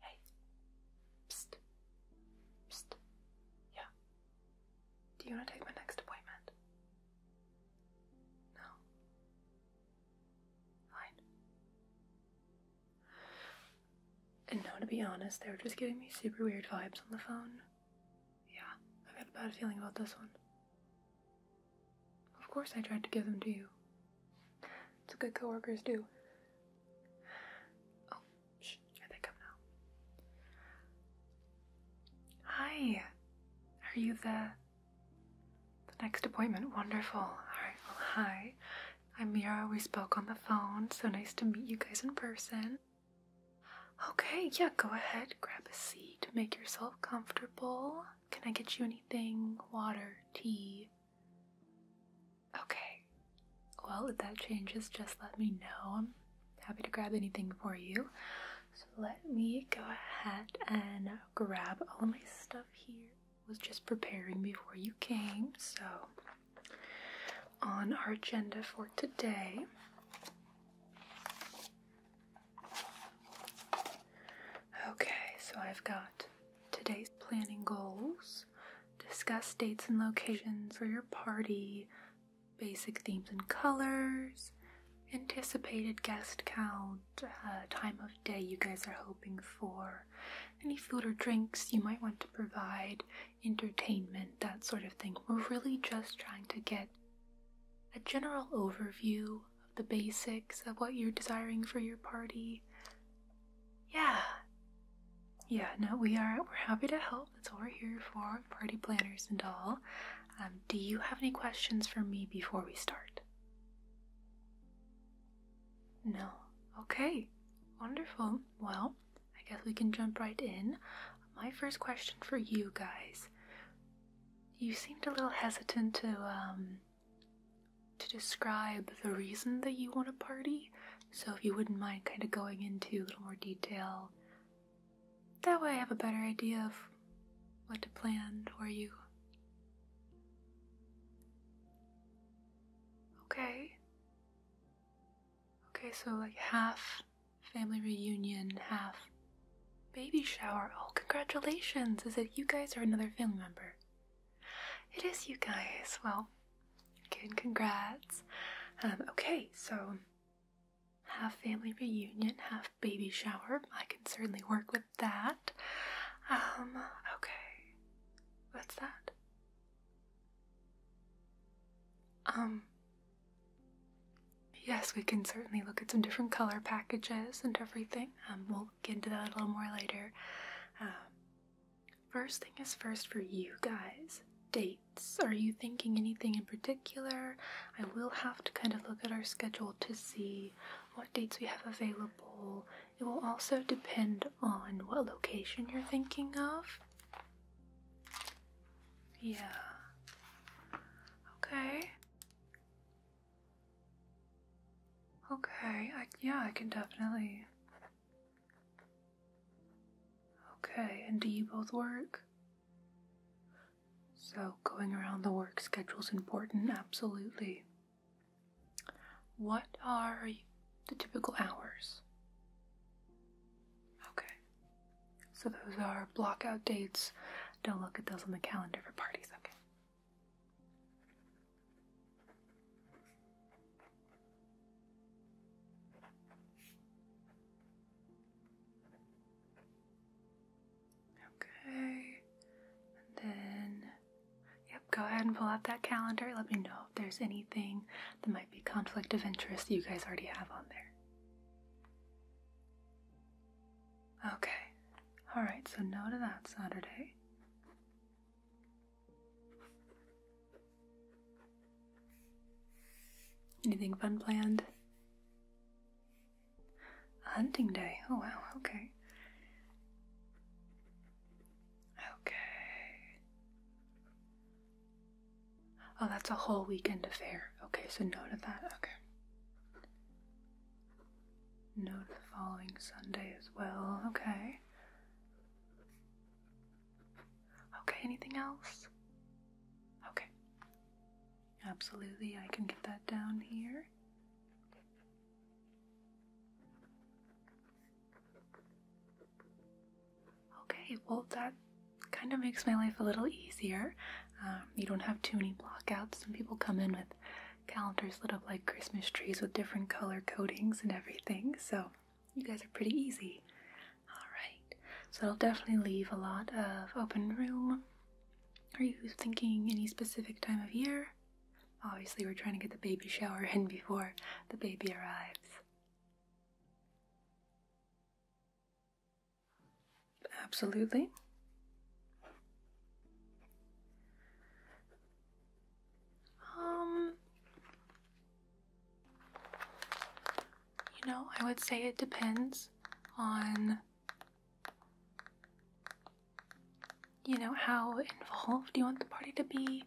Hey. Yeah. Do you want to take my next appointment? No. Fine. And no, to be honest, they were just giving me super weird vibes on the phone. Yeah, I've got a bad feeling about this one. Of course I tried to give them to you. It's what good coworkers do. Oh, shh, I think i now. Hi. Are you the the next appointment? Wonderful. Alright, well hi. I'm Mira. We spoke on the phone, so nice to meet you guys in person. Okay, yeah, go ahead, grab a seat, make yourself comfortable. Can I get you anything? Water, tea? Okay. Well, if that changes, just let me know. I'm happy to grab anything for you. So let me go ahead and grab all my stuff here. was just preparing before you came, so on our agenda for today. Okay, so I've got today's planning goals discuss dates and locations for your party, basic themes and colors, anticipated guest count, uh, time of day you guys are hoping for, any food or drinks you might want to provide, entertainment, that sort of thing. We're really just trying to get a general overview of the basics of what you're desiring for your party yeah. Yeah, no, we are we're happy to help. That's what we're here for, party planners and all. Um, do you have any questions for me before we start? No. Okay. Wonderful. Well, I guess we can jump right in. My first question for you guys. You seemed a little hesitant to um, to describe the reason that you want a party. So, if you wouldn't mind kind of going into a little more detail, that way I have a better idea of what to plan for you. Okay. Okay, so like half family reunion, half baby shower. Oh, congratulations! Is it you guys or another family member? It is you guys. Well, good, congrats. Um, okay, so have family reunion, have baby shower. I can certainly work with that. Um, okay. What's that? Um, yes, we can certainly look at some different color packages and everything. Um, we'll get into that a little more later. Um, First thing is first for you guys. Dates. Are you thinking anything in particular? I will have to kind of look at our schedule to see what dates we have available. It will also depend on what location you're thinking of. Yeah. Okay. Okay, yeah, I can definitely. Okay, and do you both work? So, going around the work schedule is important, absolutely. What are the typical hours? Okay, so those are block out dates. Don't look at those on the calendar for parties, okay? Okay, then, yep, go ahead and pull out that calendar. Let me know if there's anything that might be conflict of interest you guys already have on there. Okay, alright, so no to that Saturday. Anything fun planned? A hunting day. Oh wow, okay. Okay. Oh, that's a whole weekend affair. Okay, so no to that. Okay. No, the following Sunday as well. Okay. Okay, anything else? Okay. Absolutely, I can get that down here. Okay, well, that kind of makes my life a little easier. Um, you don't have too many blockouts. Some people come in with calendars lit up like Christmas trees with different color coatings and everything. So you guys are pretty easy. Alright, so it'll definitely leave a lot of open room. Are you thinking any specific time of year? Obviously, we're trying to get the baby shower in before the baby arrives. Absolutely. Um, you know, I would say it depends on, you know, how involved you want the party to be,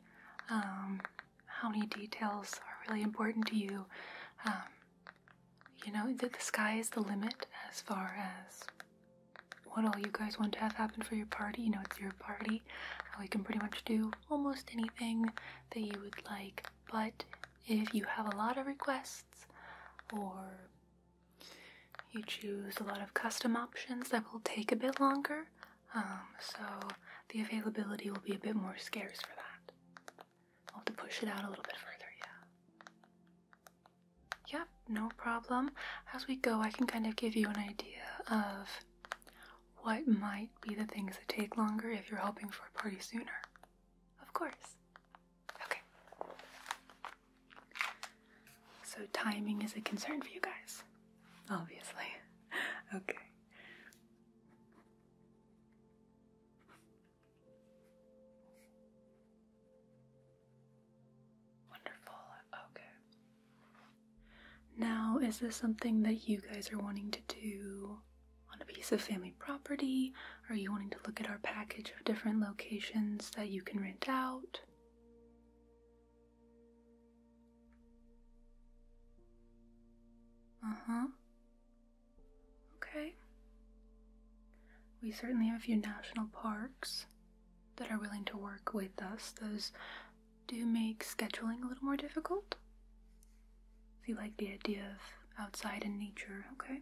um, how many details are really important to you. Um, you know, the, the sky is the limit as far as what all you guys want to have happen for your party. You know, it's your party. we can pretty much do almost anything that you would like. But if you have a lot of requests or you choose a lot of custom options that will take a bit longer, um, so the availability will be a bit more scarce for that. I'll have to push it out a little bit further, yeah no problem. As we go, I can kind of give you an idea of what might be the things that take longer if you're hoping for a party sooner. Of course. Okay. So, timing is a concern for you guys, obviously. Okay. Wonderful. Okay. Now, is this something that you guys are wanting to do on a piece of family property? Are you wanting to look at our package of different locations that you can rent out? Uh huh. Okay. We certainly have a few national parks that are willing to work with us, those do make scheduling a little more difficult. If you like the idea of outside in nature, okay?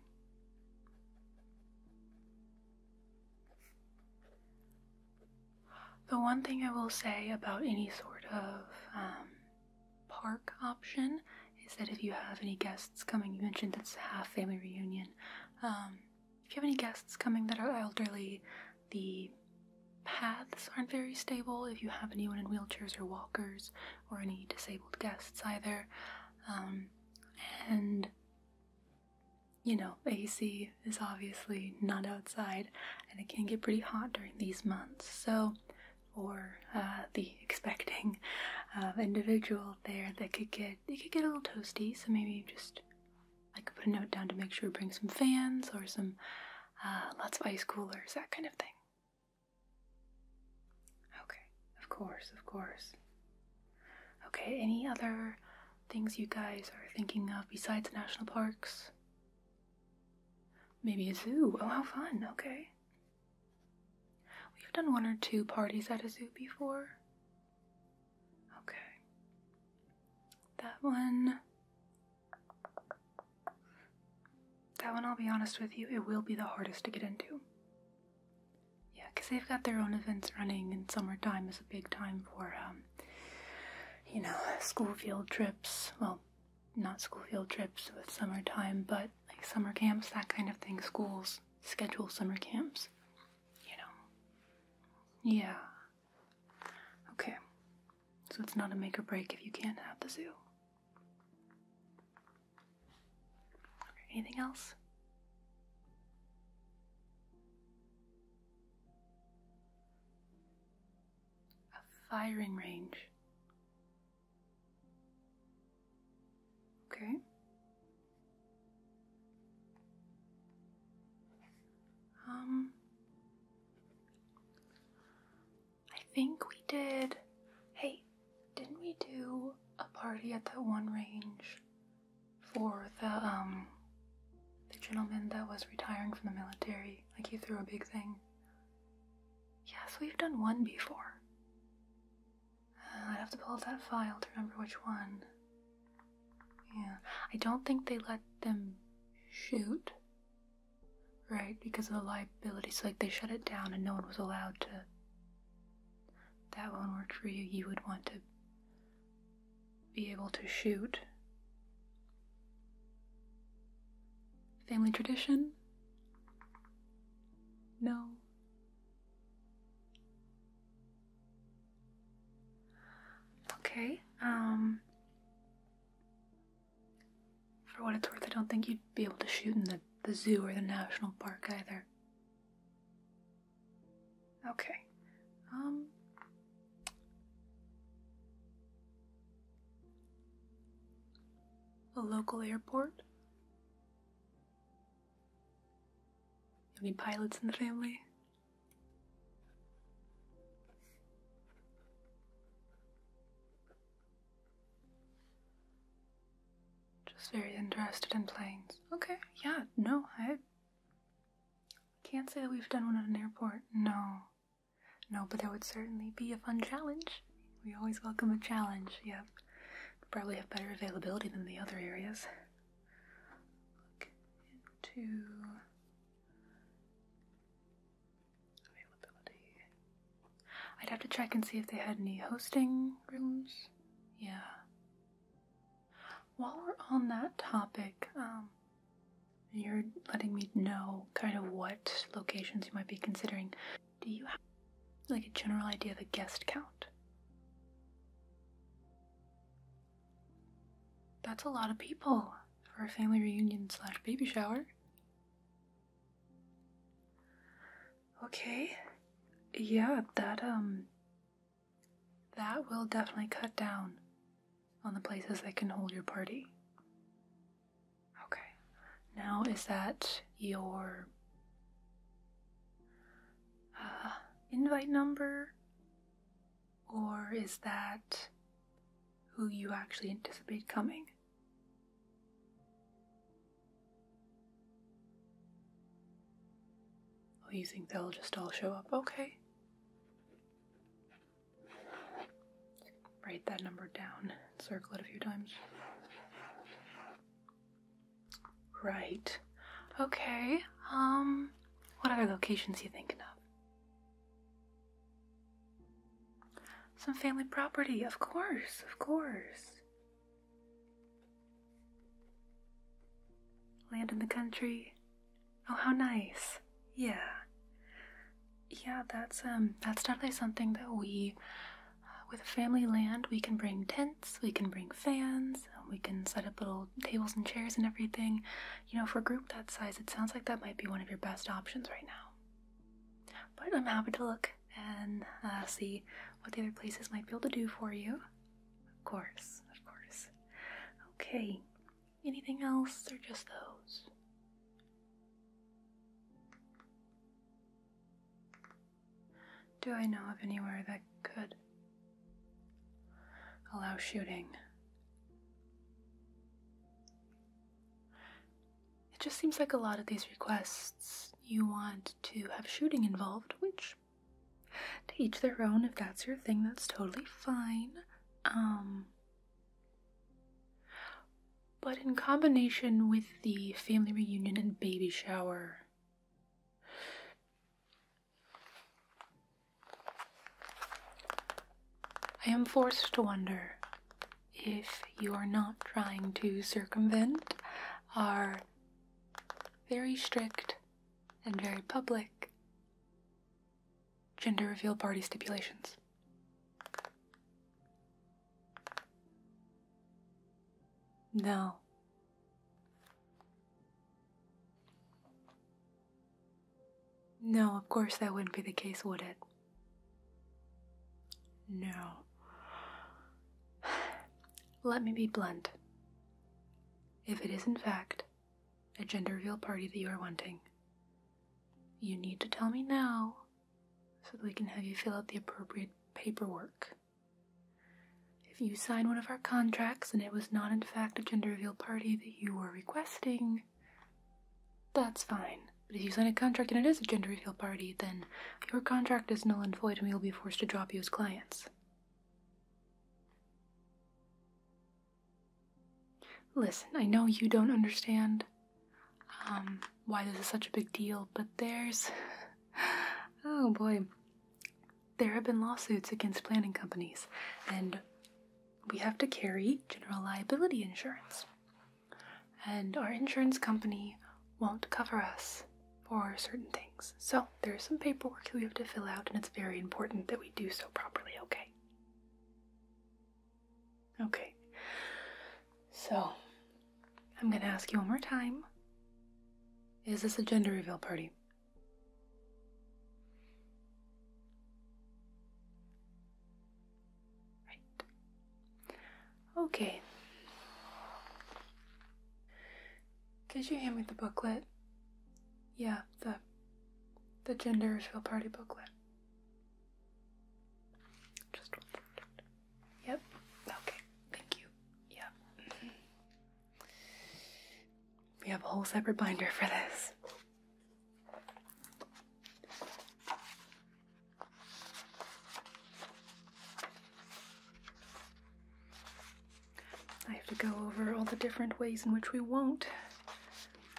The one thing I will say about any sort of um, park option is that if you have any guests coming, you mentioned it's a half family reunion. Um, if you have any guests coming that are elderly, the paths aren't very stable. If you have anyone in wheelchairs or walkers, or any disabled guests either, um, and you know, AC is obviously not outside, and it can get pretty hot during these months. So, for uh, the expecting uh, individual there, that could get it could get a little toasty. So maybe just I could put a note down to make sure we bring some fans or some uh, lots of ice coolers, that kind of thing. Okay, of course, of course. Okay, any other things you guys are thinking of besides national parks? Maybe a zoo. Oh, how fun. Okay. We've done one or two parties at a zoo before. Okay. That one. That one, I'll be honest with you, it will be the hardest to get into. Yeah, because they've got their own events running, and summertime is a big time for, um, you know, school field trips. Well, not school field trips with summertime, but like summer camps, that kind of thing. Schools schedule summer camps, you know. Yeah, Okay, so it's not a make or break if you can't have the zoo. anything else? A firing range. Okay. Um, I think we did. Hey, didn't we do a party at that one range for the um the gentleman that was retiring from the military? Like he threw a big thing. Yes, we've done one before. Uh, I'd have to pull up that file to remember which one. Yeah, I don't think they let them shoot, right? Because of the liability. So, like, they shut it down and no one was allowed to. That won't work for you. You would want to be able to shoot. Family tradition? No. Okay. Um for what it's worth, I don't think you'd be able to shoot in the, the zoo or the national park either. Okay. Um a local airport? Any pilots in the family? Just very interested in planes. Okay, yeah, no, I can't say that we've done one at an airport. No. No, but that would certainly be a fun challenge. We always welcome a challenge, yep. Probably have better availability than the other areas look into availability. I'd have to check and see if they had any hosting rooms. Yeah. While we're on that topic, um, you're letting me know kind of what locations you might be considering. Do you have like a general idea of a guest count? That's a lot of people for a family reunion slash baby shower. Okay. Yeah, that, um, that will definitely cut down on the places they can hold your party. Okay. Now, is that your uh, invite number or is that who you actually anticipate coming? Or oh, you think they'll just all show up? Okay. Write that number down, circle it a few times. Right. Okay. Um, what other locations you thinking of? Some family property, of course, of course. Land in the country. Oh, how nice. Yeah. Yeah, that's um that's definitely something that we uh, with family land, we can bring tents, we can bring fans, um, we can set up little tables and chairs and everything. You know, for a group that size, it sounds like that might be one of your best options right now. But I'm happy to look and uh, see what the other places might be able to do for you. Of course, of course. Okay, anything else or just those? Do I know of anywhere that could allow shooting? It just seems like a lot of these requests you want to have shooting involved, which to each their own, if that's your thing, that's totally fine. Um but in combination with the family reunion and baby shower, I am forced to wonder if you are not trying to circumvent our very strict and very public gender reveal party stipulations. No, no, of course that wouldn't be the case, would it? No. Let me be blunt. If it is, in fact, a gender reveal party that you are wanting, you need to tell me now so that we can have you fill out the appropriate paperwork. If you sign one of our contracts and it was not, in fact, a gender reveal party that you were requesting, that's fine. But if you sign a contract and it is a gender reveal party, then your contract is null and void and we will be forced to drop you as clients. Listen, I know you don't understand um, why this is such a big deal, but there's. Oh boy there have been lawsuits against planning companies, and we have to carry general liability insurance. And our insurance company won't cover us for certain things. So there's some paperwork that we have to fill out, and it's very important that we do so properly, okay? Okay. So I'm gonna ask you one more time Is this a gender reveal party? Right. Okay. Did you hand me the booklet? Yeah, the the gender reveal party booklet. Just one. Yep. Okay. Thank you. Yeah. Mm-hmm. We have a whole separate binder for this. I have to go over all the different ways in which we won't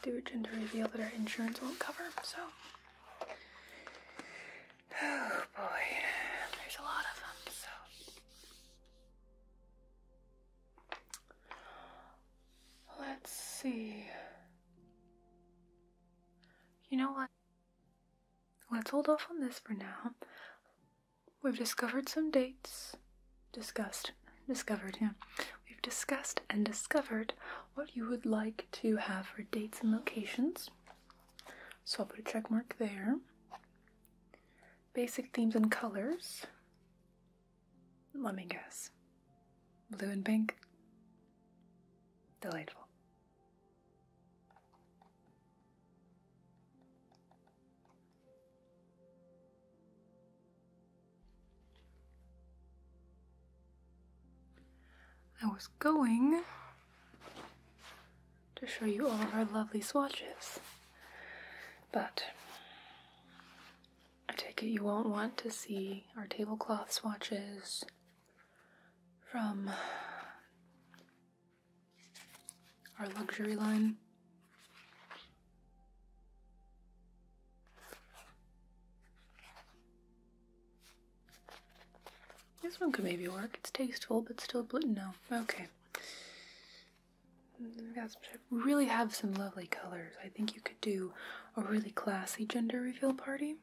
do a gender reveal that our insurance won't cover, so. Oh boy, there's a lot of them, so. Let's see. You know what? Let's hold off on this for now. We've discovered some dates. Discussed. Discovered, yeah. We've discussed and discovered what you would like to have for dates and locations. So I'll put a check mark there. Basic themes and colors. Let me guess. Blue and pink? Delightful. I was going to show you all of our lovely swatches. But I take it you won't want to see our tablecloth swatches from our luxury line. This one could maybe work. It's tasteful, but still blue. No. Okay. We really have some lovely colors. I think you could do a really classy gender reveal party.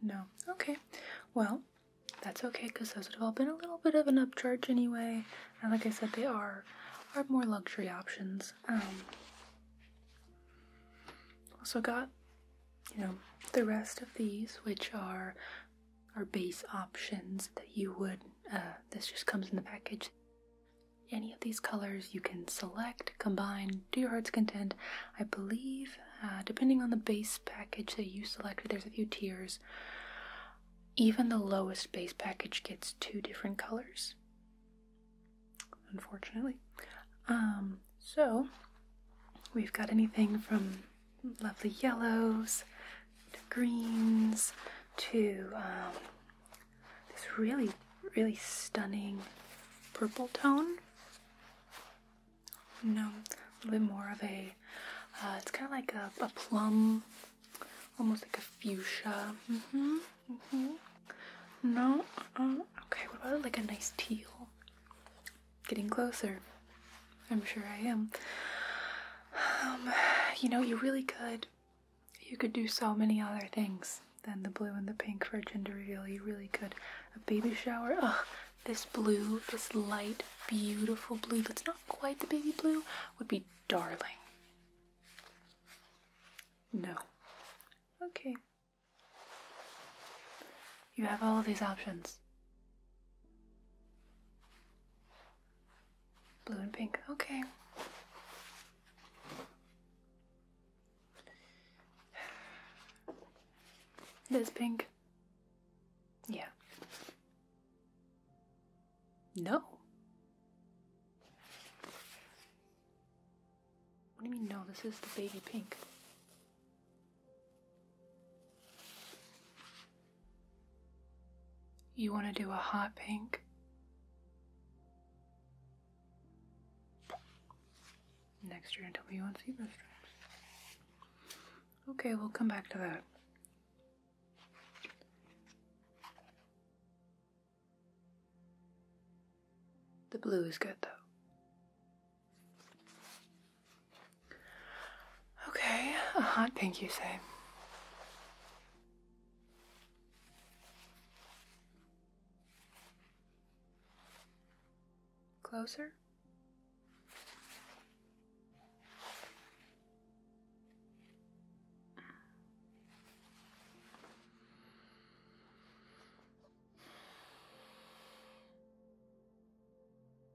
No. Okay. Well, that's okay because those would have all been a little bit of an upcharge anyway. And like I said, they are are more luxury options. Um, also got, you know, the rest of these, which are are base options that you would, uh, this just comes in the package. Any of these colors you can select, combine, do your heart's content. I believe, uh, depending on the base package that you selected, there's a few tiers. Even the lowest base package gets two different colors, unfortunately. Um, so, we've got anything from lovely yellows greens to um, this really, really stunning purple tone. No, a little bit more of a, uh, it's kind of like a, plum, almost like a fuchsia. Mm-hmm, mm-hmm. No, uh, okay, what about like a nice teal? Getting closer. I'm sure I am. Um, you know, you really could. You could do so many other things than the blue and the pink for a gender reveal. You really could. A baby shower. Ugh, this blue, this light, beautiful blue that's not quite the baby blue, would be darling. No. Okay. You have all these options. Blue and pink, okay. This pink. Yeah. No. What do you mean, no? This is the baby pink. You want to do a hot pink? Next, you're going to tell me you want zebra stripes. Okay, we'll come back to that. The blue is good though. Okay, a hot pink, you say? Closer?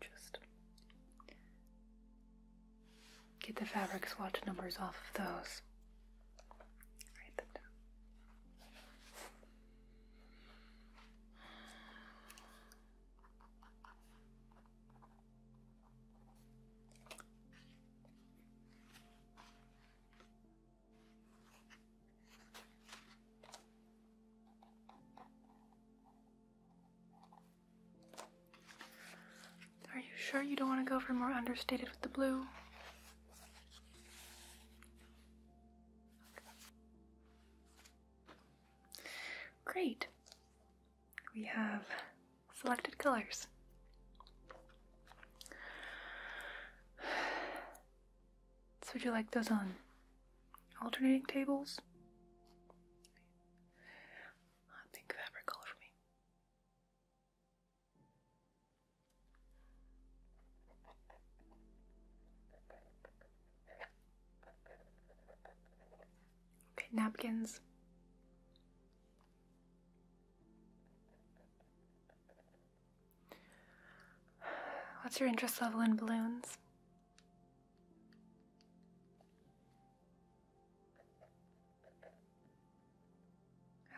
just get the fabric swatch numbers off of those. Are you sure you don't want to go for more understated with the blue? Great. We have selected colors. So would you like those on Alternating tables? I think fabric color for me. Okay, napkins. What's your interest level in balloons?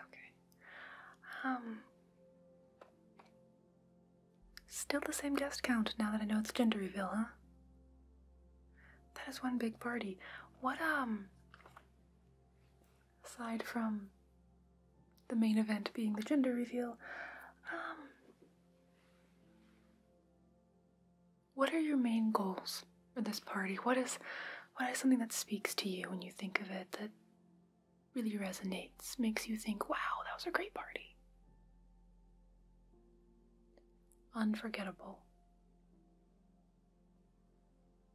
Okay. Um, still the same guest count now that I know it's gender reveal, huh? That is one big party. What, um. Aside from the main event being the gender reveal, um. What are your main goals for this party? What is what is something that speaks to you when you think of it that really resonates, makes you think, wow, that was a great party? Unforgettable.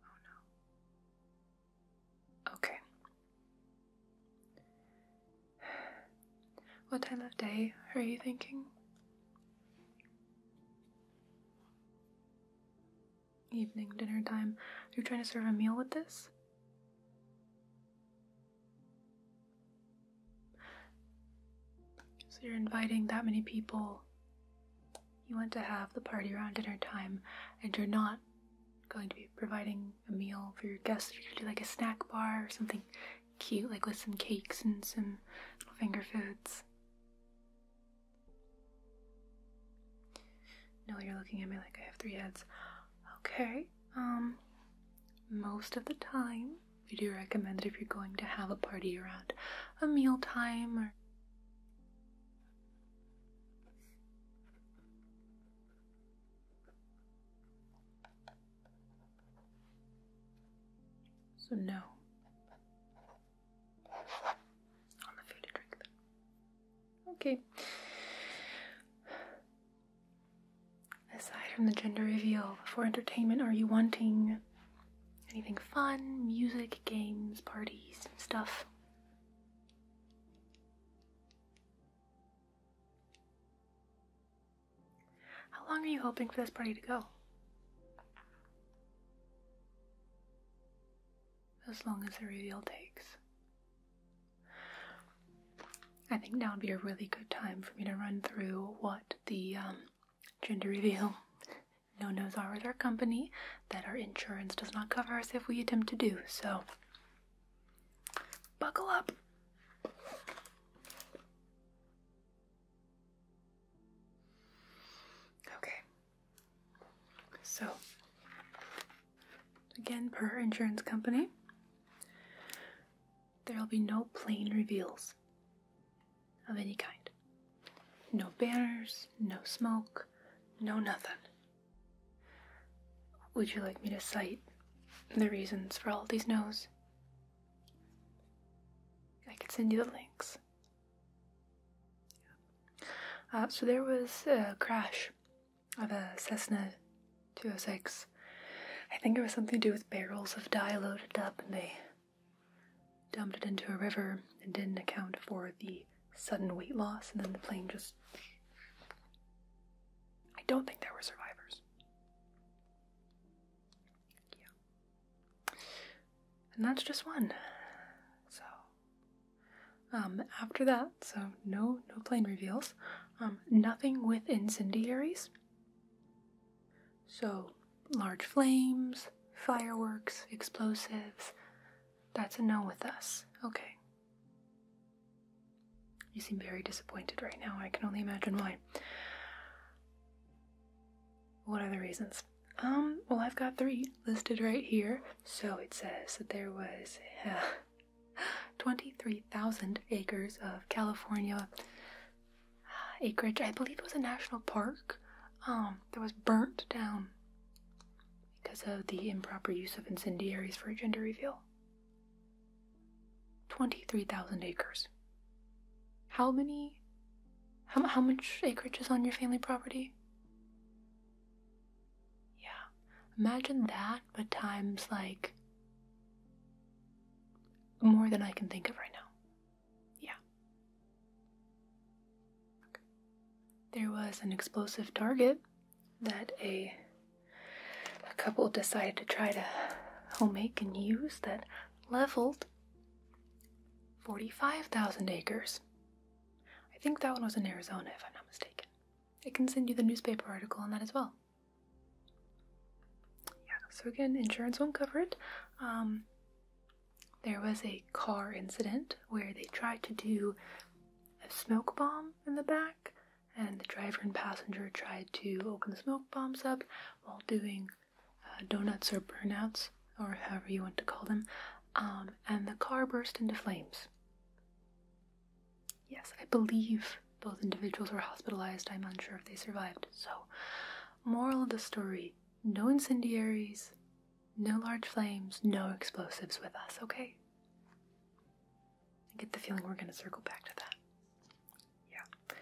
Oh, okay, what time of day are you thinking? Evening, dinner time. you Are trying to serve a meal with this? So you're inviting that many people. You want to have the party around dinner time, and you're not going to be providing a meal for your guests. If you're gonna do like a snack bar or something cute, like with some cakes and some finger foods. No, you're looking at me like I have three heads. Okay, um, most of the time, we do recommend that if you're going to have a party around a meal time or so, no. On the food and drink, then. Okay. Aside from the gender reveal, for entertainment, are you wanting anything fun? Music, games, parties, stuff? How long are you hoping for this party to go? As long as the reveal takes. I think now would be a really good time for me to run through what the um, gender reveal no-nos are with our company that our insurance does not cover us if we attempt to do, so Buckle up. Okay. So, again, per insurance company, there'll be no plain reveals of any kind. No banners, no smoke, no nothing. Would you like me to cite the reasons for all these no's? I could send you the links. Uh, so there was a crash of a Cessna 206. I think it was something to do with barrels of dye loaded up and they dumped it into a river and didn't account for the sudden weight loss and then the plane just I don't think there were survivors. Yeah. And that's just one. So um after that, so no no plane reveals. Um nothing with incendiaries. So large flames, fireworks, explosives. That's a no with us. Okay. You seem very disappointed right now. I can only imagine why. What are the reasons? Um, well, I've got three listed right here. So it says that there was uh, 23,000 acres of California uh, acreage. I believe it was a national park um, that was burnt down because of the improper use of incendiaries for a gender reveal. 23,000 acres. How many? How, much acreage is on your family property? Yeah. Imagine that, but times like more than I can think of right now. Yeah. There was an explosive target that a a couple decided to try to homemake and use that leveled 45,000 acres. I think that one was in Arizona, if I'm not mistaken. I can send you the newspaper article on that as well. Yeah, so again, insurance won't cover it. Um, there was a car incident where they tried to do a smoke bomb in the back and the driver and passenger tried to open the smoke bombs up while doing uh, donuts or burnouts, or however you want to call them, um, and the car burst into flames. Yes, I believe both individuals were hospitalized. I'm unsure if they survived. So, moral of the story no incendiaries, no large flames, no explosives with us, okay? I get the feeling we're going to circle back to that. Yeah.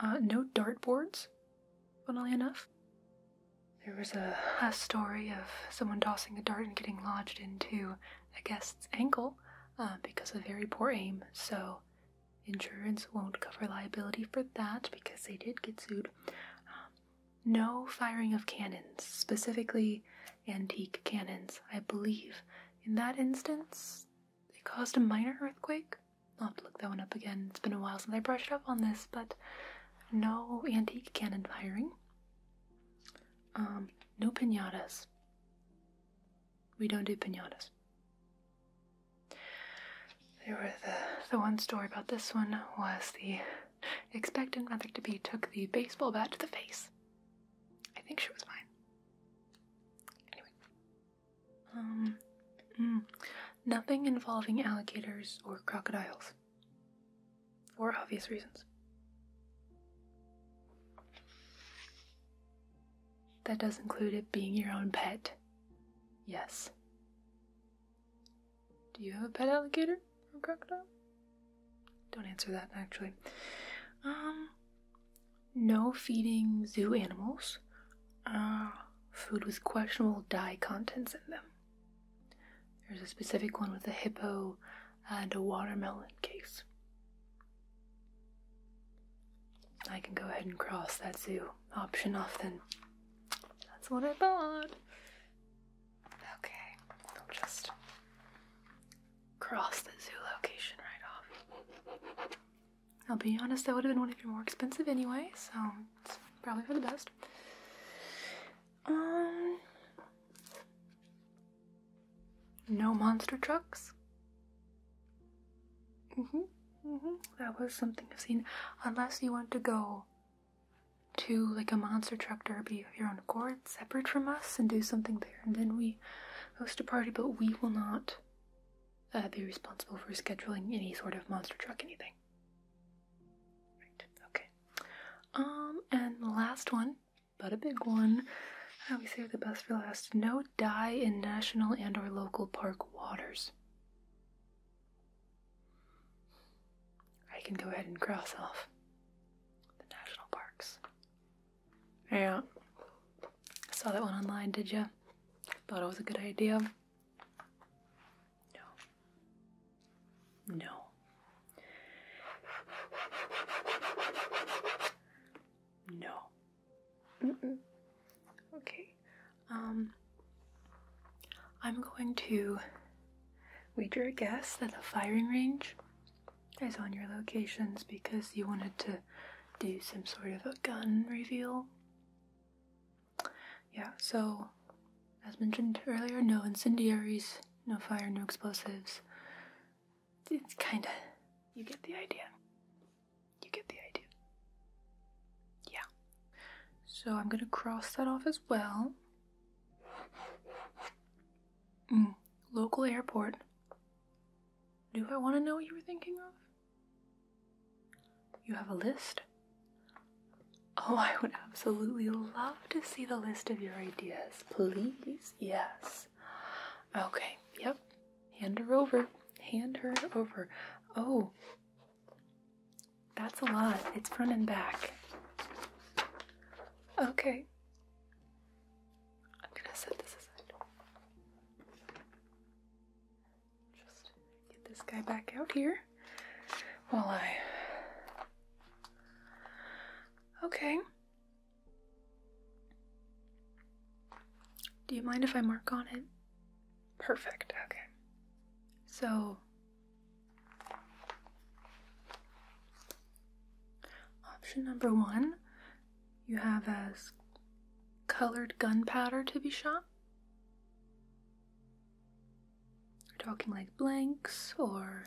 Uh, no dartboards, funnily enough. There was a, story of someone tossing a dart and getting lodged into a guest's ankle uh, because of very poor aim, so insurance won't cover liability for that because they did get sued. Um, no firing of cannons, specifically antique cannons. I believe in that instance, it caused a minor earthquake. I'll have to look that one up again. It's been a while since I brushed it up on this, but no antique cannon firing. Um, no pinatas. We don't do pinatas. There were the the one story about this one was the expectant mother to be took the baseball bat to the face. I think she was fine. Anyway. Um, mm. nothing involving alligators or crocodiles. For obvious reasons. That does include it being your own pet. Yes. Do you have a pet alligator or crocodile? Don't answer that actually. Um, no feeding zoo animals. Uh, food with questionable dye contents in them. There's a specific one with a hippo and a watermelon case. I can go ahead and cross that zoo option off then. That's what I thought. Okay, I'll just cross the zoo location right off. I'll be honest, that would have been one of your more expensive anyway, so it's probably for the best. Um, no monster trucks. Mhm, mhm. That was something I've seen, unless you want to go to like a monster truck derby of your own accord separate from us and do something there, and then we host a party, but we will not uh, be responsible for scheduling any sort of monster truck anything. Right, okay. Um, and the last one, but a big one. I always save the best for last. No die in national and or local park waters. I can go ahead and cross off the national parks. Yeah. I saw that one online, did you? Thought it was a good idea? No. No. No. Okay. Um, I'm going to wager a guess that the firing range is on your locations because you wanted to do some sort of a gun reveal. Yeah, so as mentioned earlier, no incendiaries, no fire, no explosives. It's kinda, you get the idea. You get the idea. Yeah. So I'm gonna cross that off as well. Mm, local airport. Do I want to know what you were thinking of? You have a list? Oh, I would absolutely love to see the list of your ideas, please. Yes. Okay, yep. Hand her over. Hand her over. Oh, that's a lot. It's front and back. Okay. I'm gonna set this aside. Just get this guy back out here while I. Okay. Do you mind if I mark on it? Perfect, okay. So. Option number one you have as colored gunpowder to be shot. We're talking like blanks or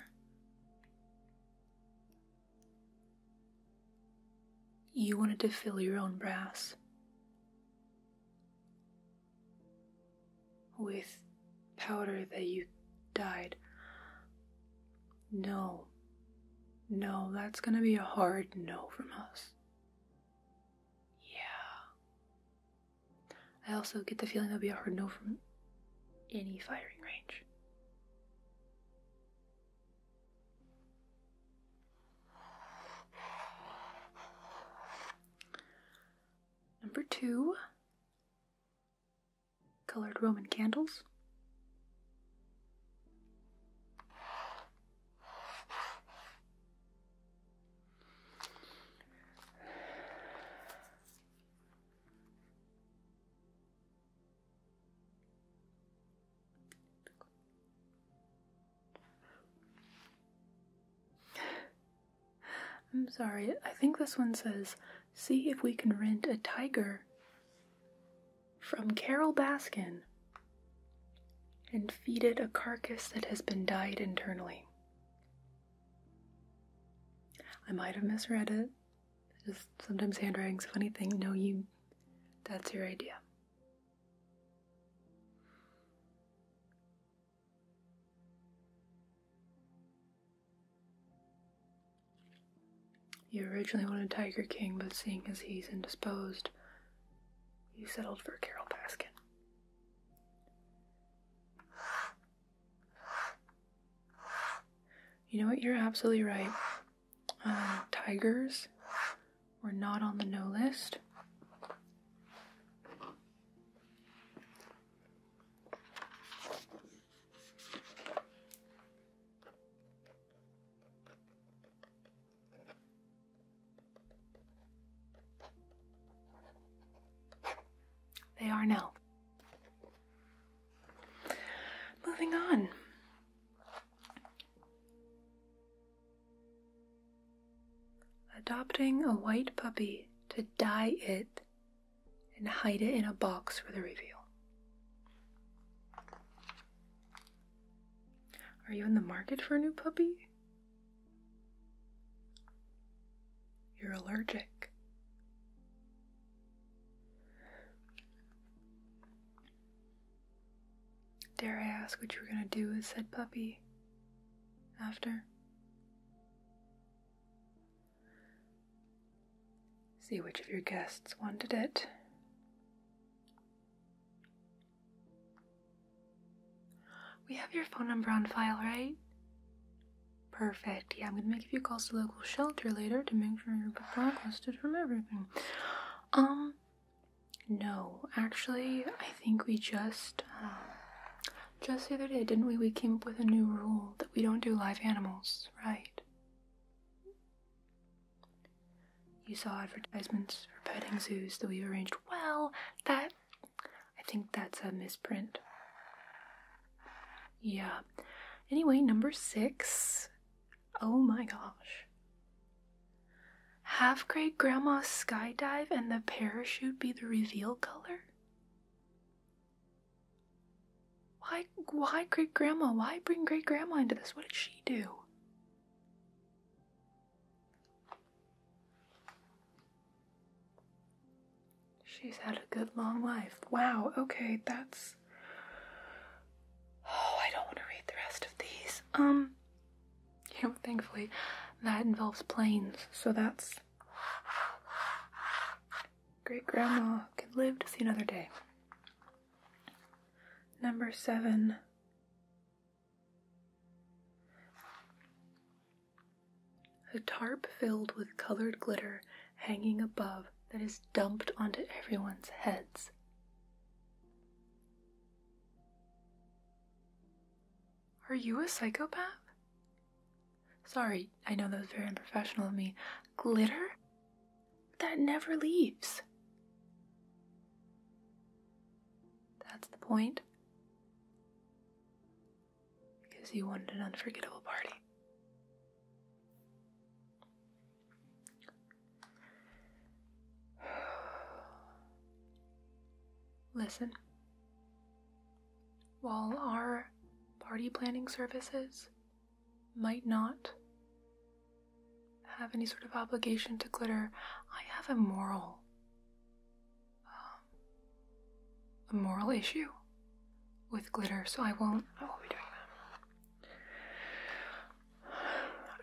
you wanted to fill your own brass with powder that you dyed. No. No, that's gonna be a hard no from us. Yeah. I also get the feeling that'll be a hard no from any firing range. Number two, colored Roman candles. I'm sorry, I think this one says see if we can rent a tiger from Carol Baskin and feed it a carcass that has been dyed internally. I might have misread it. Just sometimes handwriting's a funny thing. No, you that's your idea. You originally wanted Tiger King, but seeing as he's indisposed, you settled for Carol Baskin. You know what? You're absolutely right. Uh, tigers were not on the no list. They are now. Moving on. Adopting a white puppy to dye it and hide it in a box for the reveal. Are you in the market for a new puppy? You're allergic. Dare I ask what you are gonna do with said puppy after? See which of your guests wanted it. We have your phone number on file, right? Perfect. Yeah, I'm gonna make a few calls to local shelter later to make sure you're blacklisted from everything. Um, no, actually, I think we just, uh, just the other day, didn't we? We came up with a new rule that we don't do live animals right. You saw advertisements for petting zoos that we have arranged. Well, that. I think that's a misprint. Yeah. Anyway, number six. Oh my gosh. Have great grandma skydive and the parachute be the reveal color? Why, why great grandma? Why bring great grandma into this? What did she do? She's had a good long life. Wow, okay, that's. Oh, I don't want to read the rest of these. Um, you know, thankfully, that involves planes, so that's great grandma can live to see another day. Number seven. A tarp filled with colored glitter hanging above that is dumped onto everyone's heads. Are you a psychopath? Sorry, I know that was very unprofessional of me. Glitter? That never leaves. That's the point. Because you wanted an unforgettable party. Listen, while our party planning services might not have any sort of obligation to glitter, I have a moral, um, a moral issue with glitter, so I won't. I won't be doing that.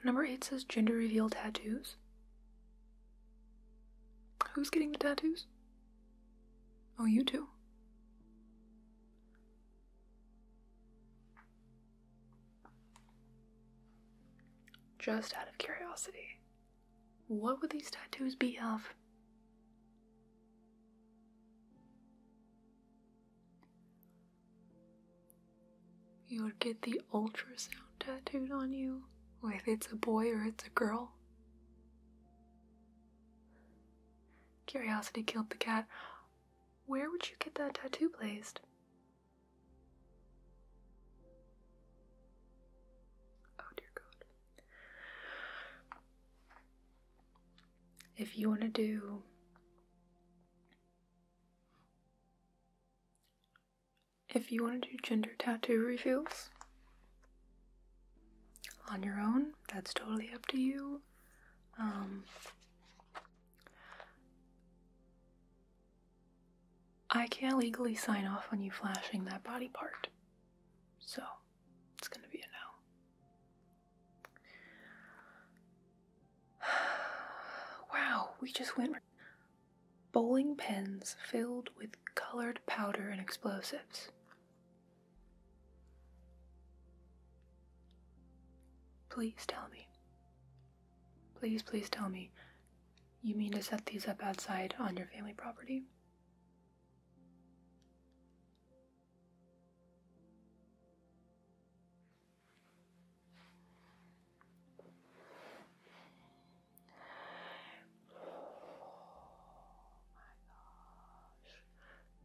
Number eight says gender reveal tattoos. Who's getting the tattoos? Oh, you too. Just out of curiosity, what would these tattoos be of? You would get the ultrasound tattooed on you, or if it's a boy or it's a girl. Curiosity killed the cat. Where would you get that tattoo placed? Oh dear God. If you want to do if you want to do gender tattoo reveals, on your own. That's totally up to you. Um, I can't legally sign off on you flashing that body part. So, it's gonna be a no. wow, we just went. Bowling pins filled with colored powder and explosives. Please tell me. Please, please tell me. You mean to set these up outside on your family property?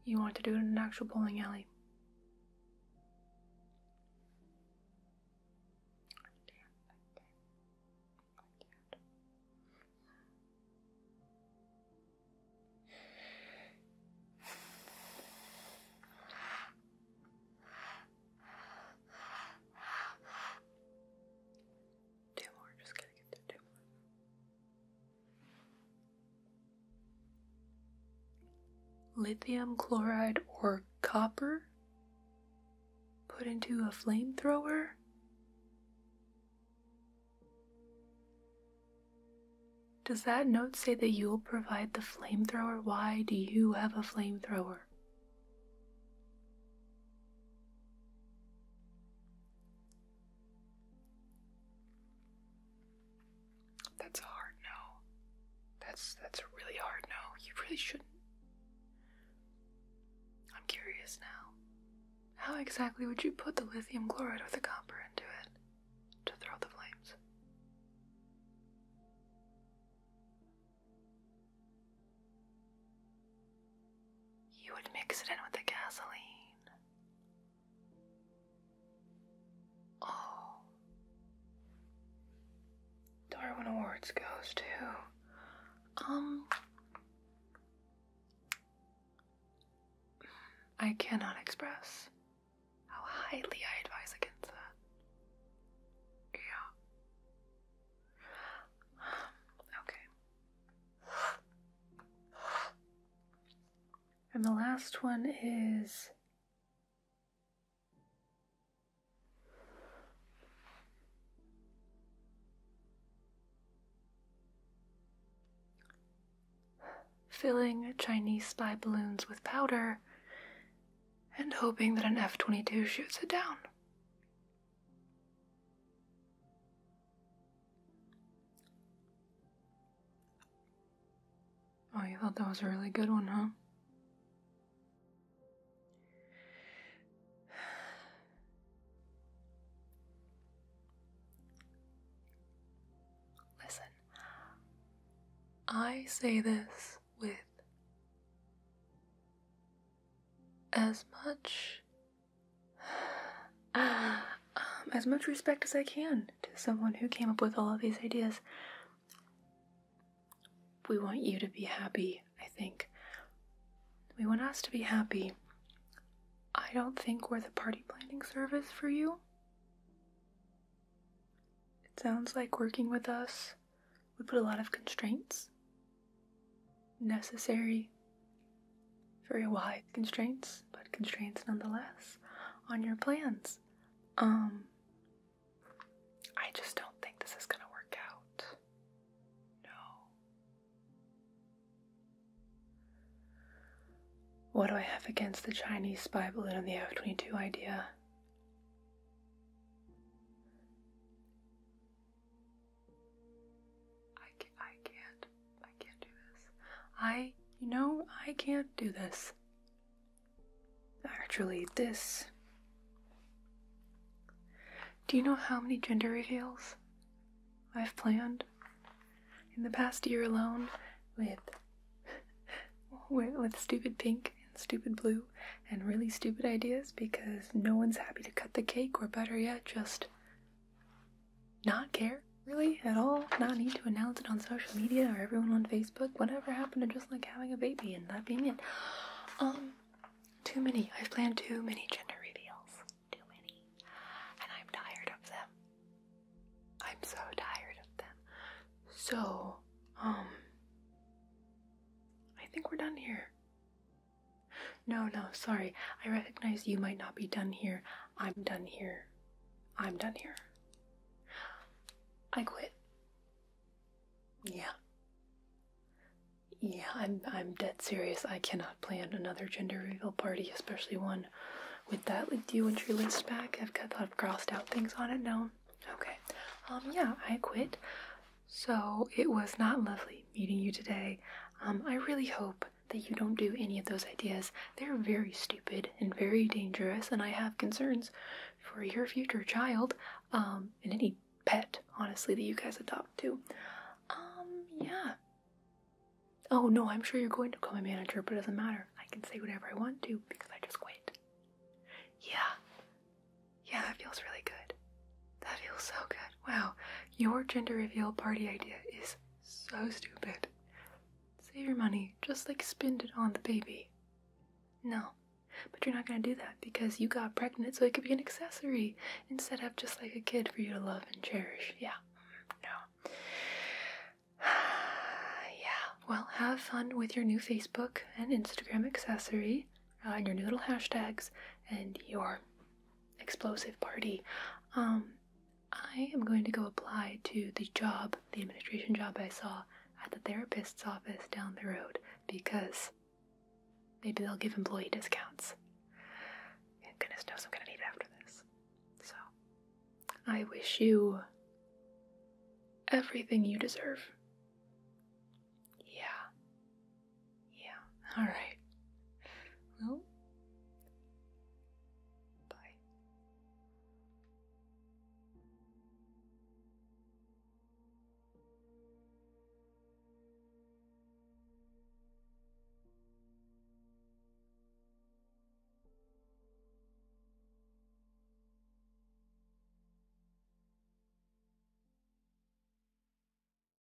You want to do it in an actual bowling alley? Lithium chloride or copper put into a flamethrower. Does that note say that you'll provide the flamethrower? Why do you have a flamethrower? That's a hard no. That's that's a really hard no. You really shouldn't. I'm curious now. How exactly would you put the lithium chloride or the copper into it to throw the flames? You would mix it in with the gasoline. Oh. Darwin Awards goes to. Um. I cannot express how highly I advise against that. Yeah. Um, okay. And the last one is filling Chinese spy balloons with powder and hoping that an F 22 shoots it down. Oh, you thought that was a really good one, huh? Listen, I say this with as much as much respect as I can to someone who came up with all of these ideas. We want you to be happy, I think. We want us to be happy. I don't think we're the party planning service for you. It sounds like working with us would put a lot of constraints necessary, very wide constraints, but constraints nonetheless on your plans. Um, I just don't think this is gonna work out. No. What do I have against the Chinese spy balloon and the F 22 idea? I can't, I can't, do this. I, you know, I can't do this. Actually, this. Do you know how many gender reveals I've planned in the past year alone with with stupid pink and stupid blue and really stupid ideas because no one's happy to cut the cake or better yet just not care really at all, not need to announce it on social media or everyone on Facebook. Whatever happened to just like having a baby and that being it? Um, too many. I've planned too many gender reveals. Too many. And I'm tired of them. I'm so tired of them. So, um, I think we're done here. No, no, sorry. I recognize you might not be done here. I'm done here. I'm done here. I quit. Yeah. Yeah, I'm I'm dead serious. I cannot plan another gender reveal party, especially one with that. do you want your list back? I've got i crossed out things on it. No, okay. Um, yeah, I quit. So it was not lovely meeting you today. Um, I really hope that you don't do any of those ideas. They're very stupid and very dangerous, and I have concerns for your future child um, and any pet, honestly, that you guys adopt too. Um, yeah. Oh no, I'm sure you're going to become a manager, but it doesn't matter. I can say whatever I want to because I just quit. Yeah. Yeah, that feels really good. That feels so good. Wow, your gender reveal party idea is so stupid. Save your money, just like spend it on the baby. No, but you're not gonna do that because you got pregnant so it could be an accessory instead of just like a kid for you to love and cherish. Yeah, no. yeah, well, have fun with your new Facebook and Instagram accessory uh, and your new little hashtags and your explosive party. Um, I am going to go apply to the job, the administration job I saw at the therapist's office down the road because maybe they'll give employee discounts. And goodness knows I'm gonna need it after this. So, I wish you everything you deserve. Yeah. Yeah, alright. Well, bye.